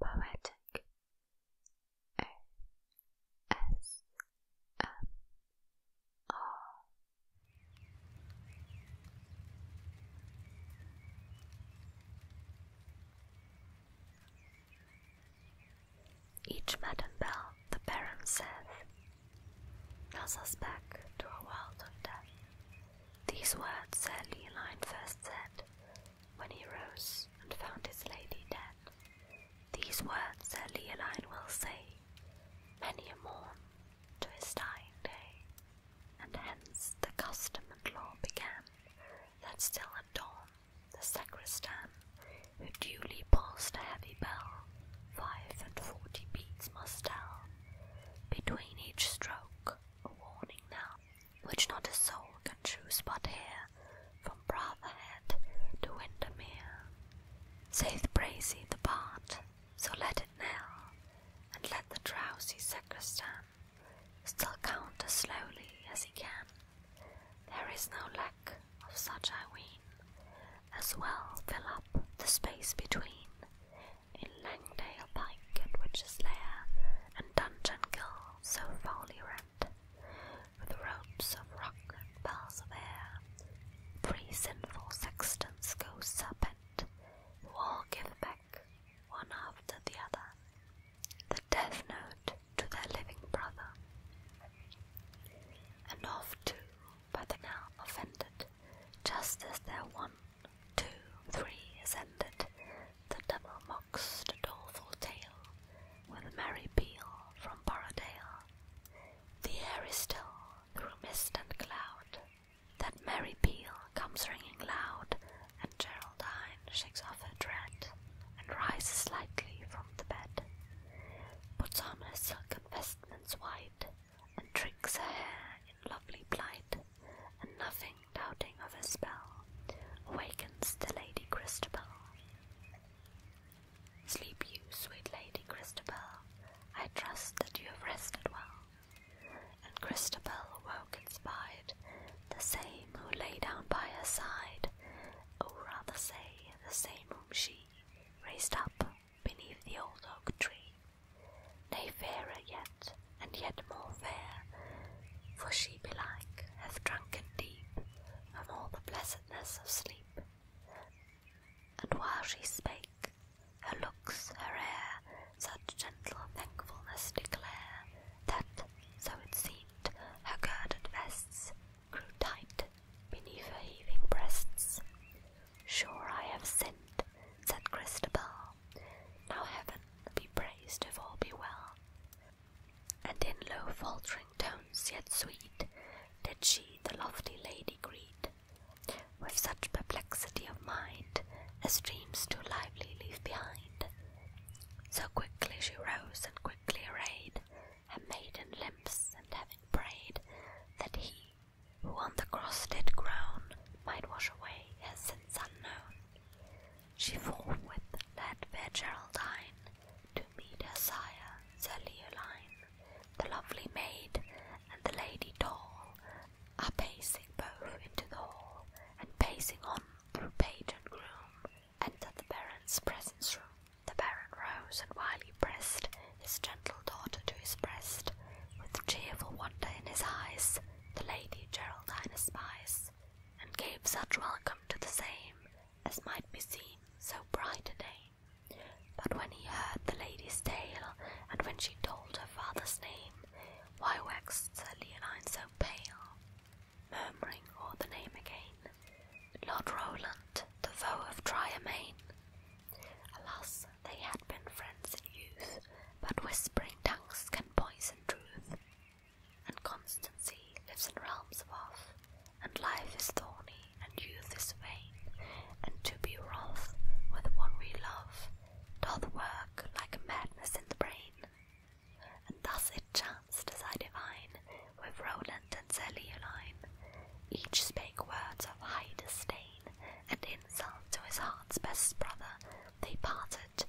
Poetic Each Madam Bell the Baron saith, Thus us back to a world of death. These words Sir Leoline first said when he rose and found his lady dead. These words Sir Leoline will say many a morn to his dying day, and hence the custom and law began that still at dawn the sacristan who duly pulsed a heavy bell five and forty beats must tell between each stroke a warning knell which not a soul can choose but hear, from Brotherhead to Windermere. Saith Brazy the bard, so let it knell, and let the drowsy sacristan still count as slowly as he can. There is no lack of such, I ween, as well fill up the space between in Langdale Pike at Witch's Lair, and Dungeon Gill so foully rent, with ropes of rock and bars of air, three sinful sextons go serpent, who all give back, one after the other, the death note to their living brother. And oft too, by the now offended, just as their one Two, three ascended, the double moxed doleful tale, with a merry peal from Borodale. The air is still through mist and cloud, that merry peal comes ringing loud, and Geraldine shakes off her dread, and rises lightly from the bed, puts on her silken vestments white, and drinks her hair lovely plight, and nothing doubting of her spell awakens the Lady Christabel. Sleep you, sweet Lady Christabel, I trust that you have rested well. And Christabel awoke and spied the same who lay down by her side, or oh, rather say, the same whom she raised up beneath the old oak tree nay fairer yet, and yet more fair, for she belike hath drunken deep of all the blessedness of sleep. And while she spake, her looks, her air, such gentle thankfulness declare, that, so it seemed, her girded vests grew tight beneath her heaving breasts. Sure I have sinned, said Christabel. Now heaven be praised if all be well. And in low faltering tones yet sweet did she the lofty lady greet, with such perplexity of mind as dreams too lively leave behind. So quickly she rose and quickly arrayed her maiden limbs, and having prayed that he who on the cross did groan might wash away her sins unknown, she forthwith led fair Geraldine to meet her sire, Sir Leoline, the lovely maid, and the lady tall, are pacing both into the hall, and pacing on through page and groom, enter the baron's presence room. The baron rose, and while he pressed his gentle daughter to his breast, with cheerful wonder in his eyes, the Lady Geraldine espies, and gave such welcome to the same as might be seen so bright a day. But when he heard the lady's tale, and when she told her father's name, why waxed Sir Leonine so pale? Murmuring o'er the name again, Lord Rowland, the foe of Tryermaine. Alas, they had been friends in youth, but whispering tongues can poison truth, and constancy lives in realms above, and life is thorny, and youth is vain, and to be wroth with the one we love doth work like madness in the brain. And thus it chanced as I divine, with Roland and Zelioline, each spake words of high disdain and insult to his heart's best brother, they parted,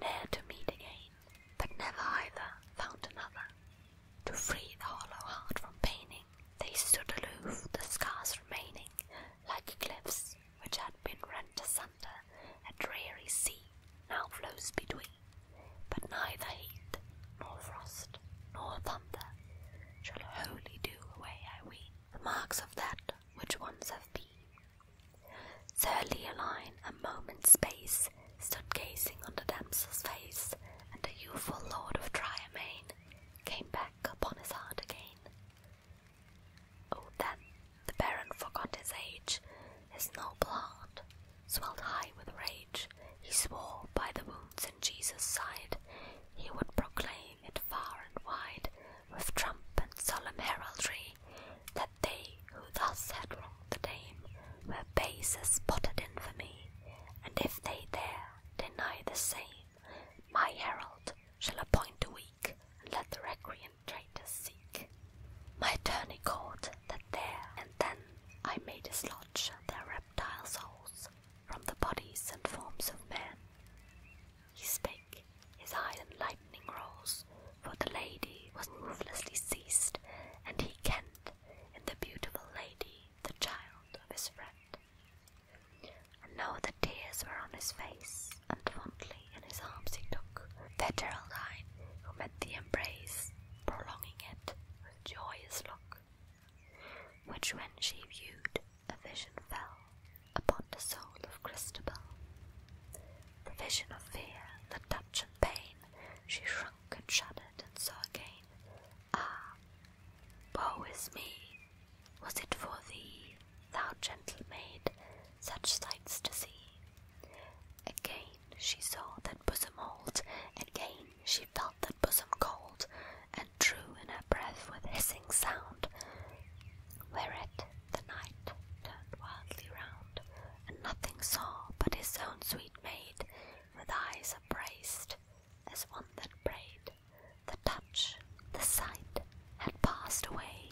ne'er to meet again, but never either found another. To free the hollow heart from paining, they stood aloof, the scars remaining, like cliffs which had been rent asunder, a dreary sea now flows between. But neither heat, nor frost, nor thunder shall wholly do away, I ween, the marks of that which once have been. Sir Leoline, a moment's space, stood gazing on the damsel's face, and the youthful lord of Dryermain came back upon his heart again. Oh, then the baron forgot his age, his noble heart swelled high with rage. He swore by the wounds in Jesus' side, he would proclaim it far and wide, with trump and solemn heraldry that they who thus had wronged the dame were base as spotted infamy, and if they there deny the same, my herald shall appoint a week, and let the recreant traitors seek. My attorney called that there and then I may dislodge their reptile souls from the bodies and forms of men, he spake, his eye in lightning rolls, for the lady was movelessly seized, and he kent in the beautiful lady the child of his friend. And now the tears were on his face, and fondly in his arms he took the Geraldine, who met the embrace, prolonging it with joyous look, which when she viewed, a vision fell upon the soul of Christabel. The vision of fear, the touch and pain, she shrunk and shuddered and saw again. Ah, woe is me! Was it for thee, thou gentle maid, such sights to see? Again she saw that bosom old, again she felt that bosom cold, and drew in her breath with hissing sound, whereat the night turned wildly round, and nothing saw but his own sweet maid, with eyes upraised, as one that prayed. The touch, the sight, had passed away,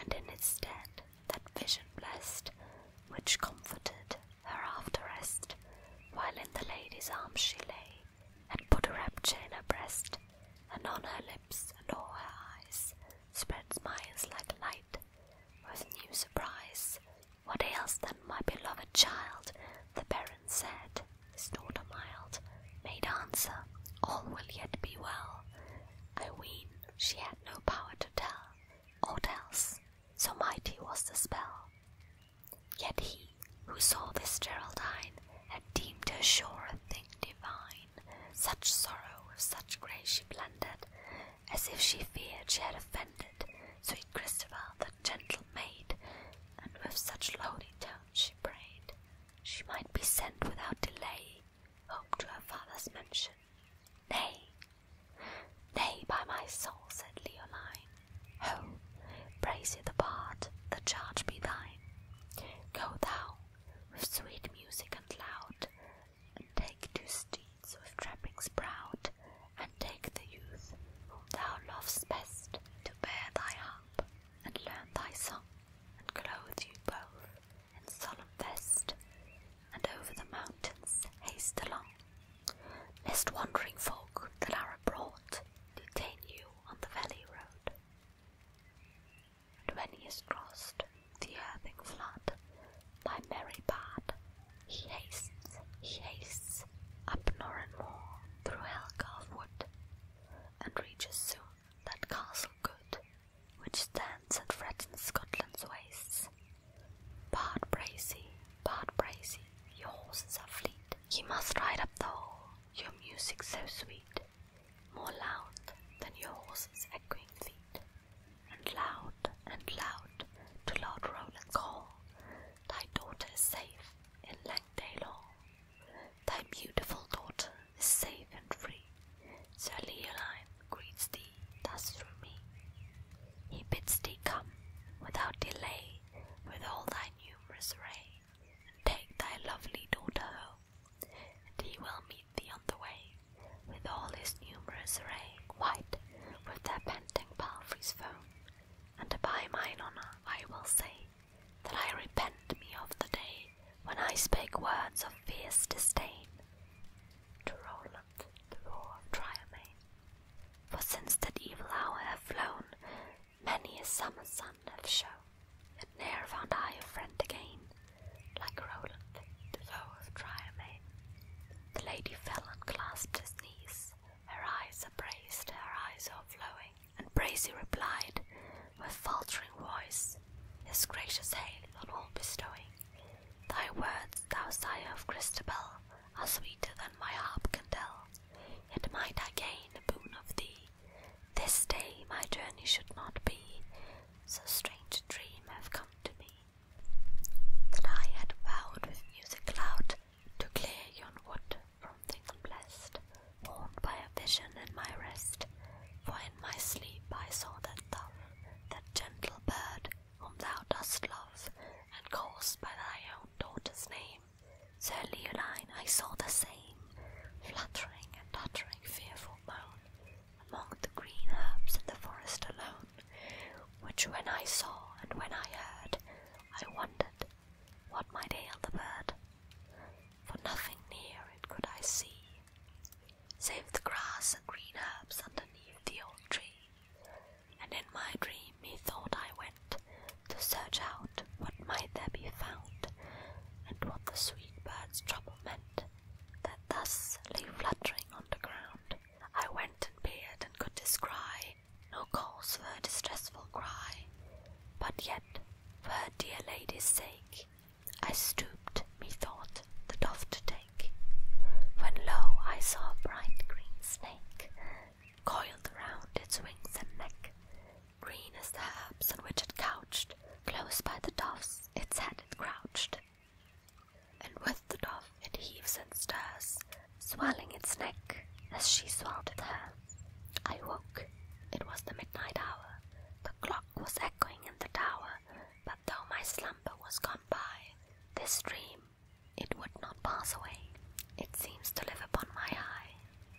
and in its stead that vision blessed, which comforted her after rest, while in the lady's arms she lay, and put a rapture in her breast, and on her lips lips and all her eyes spread smiles like light with new surprise. What ails them, my beloved child? The baron said, his daughter mild made answer, all will yet be well. I ween she had no power to tell aught else, so mighty was the spell. Yet he who saw this Geraldine had deemed her sure a thing divine. Such sorrow with such grace she blended, as if she feared she had offended sweet Christabel, the gentle maid, and with such lowly tones she prayed she might be sent without delay home to her father's mansion. Nay, nay, by my soul, said Leoline. "Home, praise ye the part; the charge be thine. Go thou, with sweet music loud, and take two steeds with trappings proud, and take the youth whom thou lovest best to bear thy harp, and learn thy song, and clothe you both in solemn vest, and over the mountains haste along, lest wandering folk that are abroad detain you on the valley road and when he has crossed, the earthing flood, by merry bard, he hastens, he hastes, up Norren Moor, through Helgarth Wood, and reaches soon that castle good, which stands and Fretton, Scotland's wastes. Bard Bracy, Bard Bracy, your horses are fleet, ye must ride up the hall, your music so sweet, more loud than your horse's echoing feet, and loud and loud to Lord Roland call. Thy daughter safe in Langdale Hall. Thy beautiful daughter safe and free. Sir Leoline greets thee thus through me. He bids thee come without delay with all thy numerous array, and take thy lovely daughter home and he will meet thee on the way, with all his numerous array, white with their panting palfreys' foam, and by mine honour I will say, that I repent me of the day when I spake words of fierce disdain to Roland the roar of Triomain. For since that evil hour have flown, many a summer sun hath shone. Yet ne'er found I a friend again, like Roland, the foe of Dryermain. The lady fell and clasped his knees, her eyes upraised, her eyes overflowing, and Bracy replied with faltering voice, his gracious hail on all bestowing. Thy words, thou sire of Christabel, are sweeter than my harp can tell, yet might I gain a boon of thee, this day my journey should not be, so strange a dream have come to me, that I had vowed with music loud to clear yon wood from things blessed, warned by a vision in my rest, for in my sleep I saw that thou, that gentle bird, whom thou dost love, and caused by thy own daughter's name, Sir Leoline, I saw the same, fluttering and uttering fearful moan, among the green herbs in the forest alone, which when I saw and when I heard, I wondered what might ail the bird, for nothing near it could I see, save the grass and green herbs underneath the old tree, and in my dream methought I went to search out what might there be found, and what the sweet bird's trouble meant that thus lay fluttering on the ground. I went and peered and could descry no cause for her distressful cry, but yet for her dear lady's sake I stooped, methought, the dove to take, when lo, I saw a bright green snake coiled round its wings and neck, green as the herbs on which it couched, Close by the doves, its head it crouched, and with the dove it heaves and stirs, swelling its neck as she swelled it her. I woke. It was the midnight hour. The clock was echoing in the tower, but though my slumber was gone by, this dream it would not pass away. It seems to live upon my eye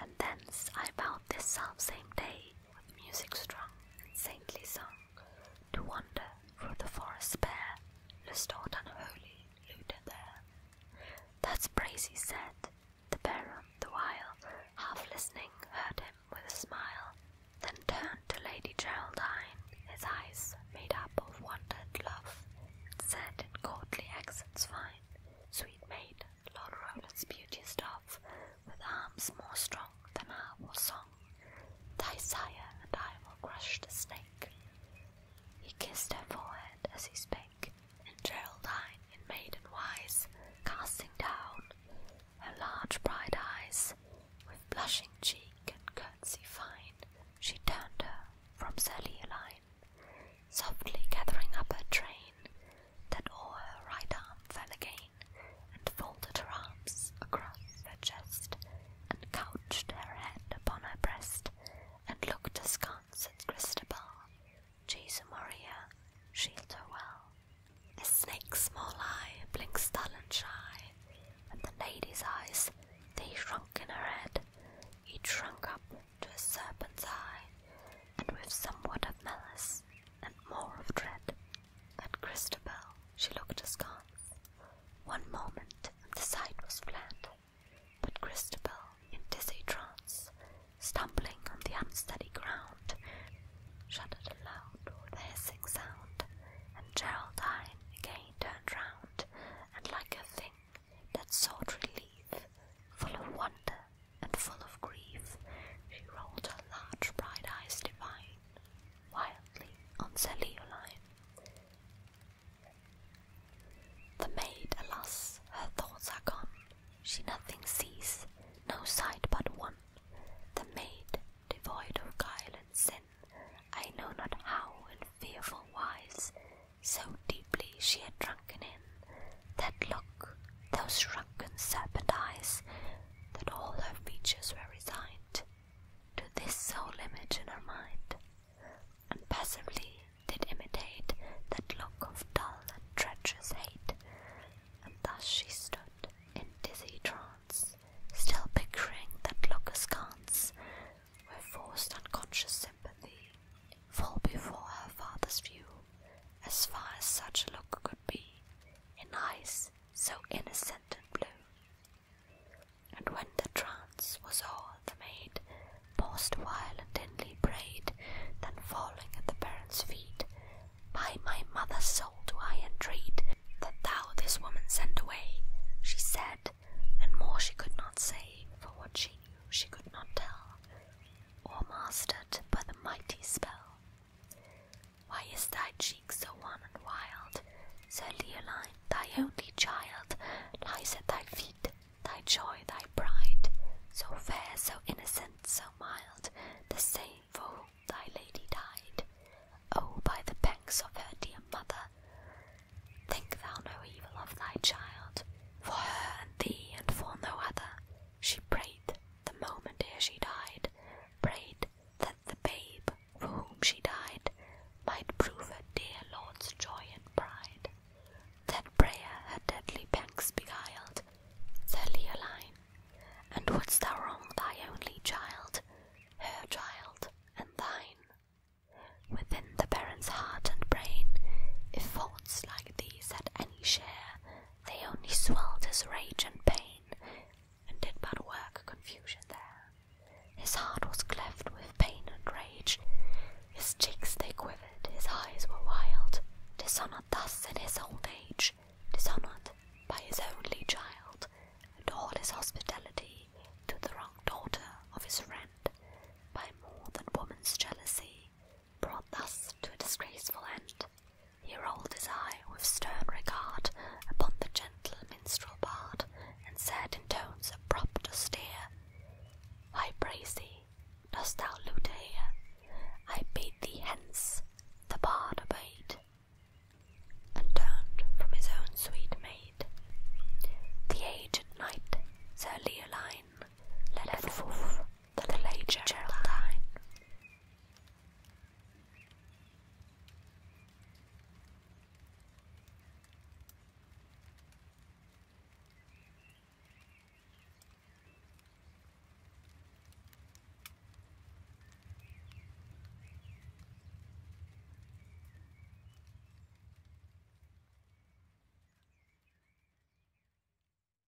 and thence I vowed this self same day, with music strung and saintly song, to wander through the forest bare, lest aught unholy looted there. That's praise he said, the baron the while, half listening, heard him with a smile, then turned to Lady Geraldine, his eyes made up of wondered love, said in courtly accents fine, Sweet maid, Lord Roland's beauty dove, with arms more strong than our or song, thy sire and I will crush the snake. He kissed her forehead as he spake, and Geraldine, in maiden wise, casting down her large bright eyes, with blushing cheek and courtesy fine, she turned her from Sir Leoline, softly gathering up her train, pain that all her right arm fell again and folded her arms across her chest and couched her head upon her breast and looked askance at Christabel. Jesus Maria, shield her well. A snake's small eye blinks dull and shy, and the lady's eyes, they shrunk in her head, each shrunk up to a serpent's eye, and with somewhat of malice and more of dread. At Christabel she looked askance. One moment and the sight was flat, but Christabel, in dizzy trance, stumbling on the unsteady ground, shuddered aloud with a hissing sound, and Geraldine again turned round, and like a thing that sought relief, full of wonder and full of grief, she rolled her large bright eyes divine, wildly on Sir Leoline. The maid, alas, her thoughts are gone, she nothing sees, no sight but one, the maid, devoid of guile and sin, I know not how in fearful wise, so deeply she had drunken in, that look, those shrunken serpent eyes, that all her features were resigned to this sole image in her mind, and passively did imitate that look of dull and treacherous hate, and thus she stood in dizzy trance, still picturing that look askance, where forced unconscious sympathy fall before her father's view, as far as such a look could be, in eyes so innocent and blue. And when the trance was o'er, the maid paused awhile while and inly prayed, then falling at the parents' feet, by my mother's soul do I entreat that thou this woman send away, she said, and more she could not say, for what she knew she could not tell, or mastered by the mighty spell. Why is thy cheek so wan and wild? Said Leoline, thy only child lies at thy feet, thy joy, thy pride. So fair, so innocent, so mild, the same for whom thy lady died. Oh, by the banks of her dear mother, think thou no evil of thy child, for her and thee and for no other. She prayed the moment ere she died, prayed that the babe for whom she died might prove her dear Lord's joy and pride. That prayer her deadly pangs beguiled, Sir Leoline, and wouldst thou wrong thy only child, her child and thine? Within the parent's heart and brain, if faults like these had any share, they only swelled his rage and pain, and did but work confusion there. His heart was cleft with pain and rage, his cheeks they quivered, his eyes were wild, dishonoured thus in his old age, dishonoured by his only child, and all his hospitality to the wrong daughter of his friend, by more than woman's jealousy, brought thus to a disgraceful end, he rolled his eye with stern regard upon the gentle minstrel bard, and said in tones abrupt austere, "I praise thee, dost thou lute here? I bade thee hence." The bard obeyed, and turned from his own sweet maid. The aged knight, Sir Leoline, led to the late Geraldine.